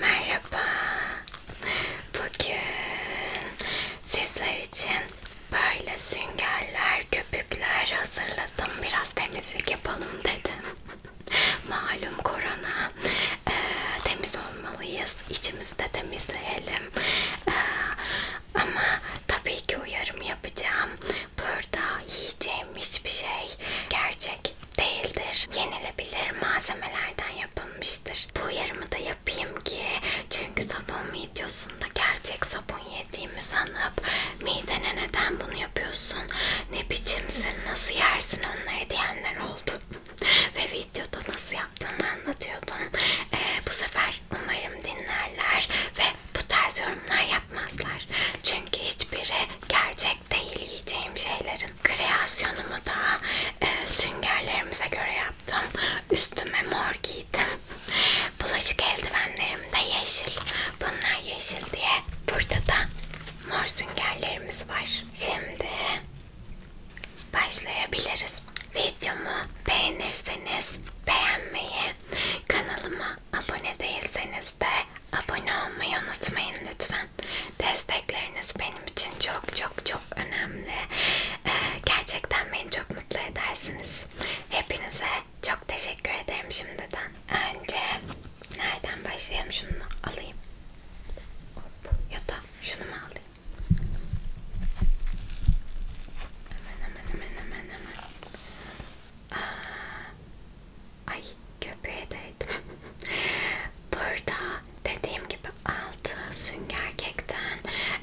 Merhaba. Bugün sizler için böyle süngerler, köpükler hazırladım. Biraz temizlik yapalım dedim. Malum korona. E, temiz olmalıyız. İçimizi de temizleyelim. E, ama tabii ki uyarım yapacağım. Burada yiyeceğim hiçbir şey gerçek plastik değildir. Yenilebilir malzemelerden yapılmıştır. Bu yarımı da yapayım ki çünkü sabun videosunda gerçek sabun yediğimi sanıp midene neden bunu yapıyorsun, ne biçimsin, nasıl yersin onları diyenler oldu. Ve videoda nasıl yaptığımı anlatıyordum. Ee, bu sefer umarım dinlerler ve bu tarz yorumlar yapmazlar. Çünkü hiçbiri gerçek tek değil yiyeceğim şeylerin. Kreasyonumu da e, süngerlerimize göre yaptım. Üstüme mor giydim. Bulaşık eldivenlerim de yeşil. Bunlar yeşil diye. Burada da mor süngerlerimiz var. Şimdi başlayabiliriz. Videomu beğenirseniz beğenmeyi, kanalıma abone değilseniz de abone olmayı unutmayın lütfen. Destekleriniz benim için çok çok çok önemli. Ee, gerçekten beni çok mutlu edersiniz. Hepinize çok teşekkür ederim şimdiden. Önce nereden başlayayım? Şunu alayım. Hop, ya da şunu mu alayım? Hemen hemen hemen hemen hemen. Aa, Ay köpüğe değdim. Burada dediğim gibi altı sünger kekten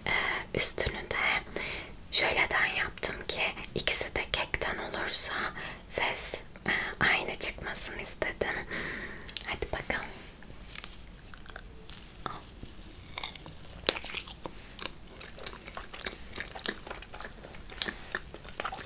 e, üstünü de şöyleden yaptım ki ikisi de kekten olursa ses e, aynı çıkmasını istedim. Hadi bakalım.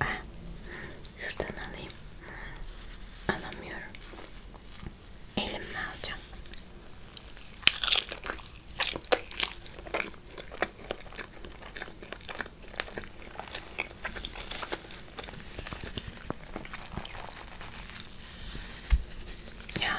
Ah, şuradan alayım. Alamıyorum. Elimle alacağım. Ya.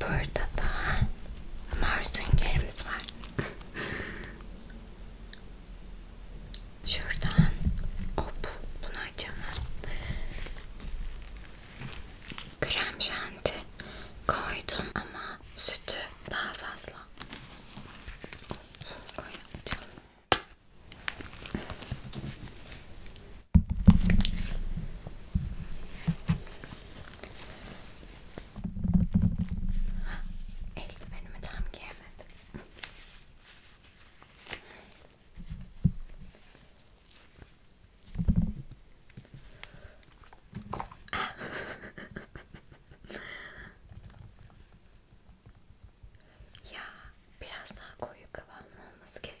Burada da mor süngerimiz var. Şuradan hop bunu açamam. Krem şanti koydum ama sütü daha fazla. Koyacağım. Eldivenimi tam giyemedim. Ah. ya biraz daha koyu kıvamlı olması gerekiyor.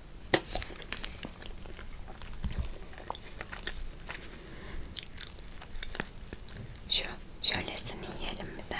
Şu şölesini yiyelim bir de.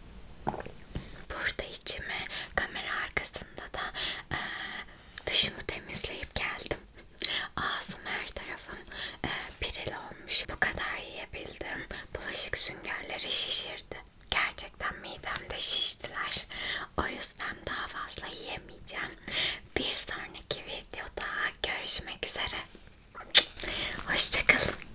Burada içimi kamera arkasında da e, dışımı temizleyip geldim. Ağzım her tarafım e, piril olmuş. Bu kadar yiyebildim. Bulaşık süngerleri şişirdi. Gerçekten midemde şiştiler. O yüzden daha fazla yiyemeyeceğim. Bir sonraki videoda görüşmek üzere. Hoşçakalın.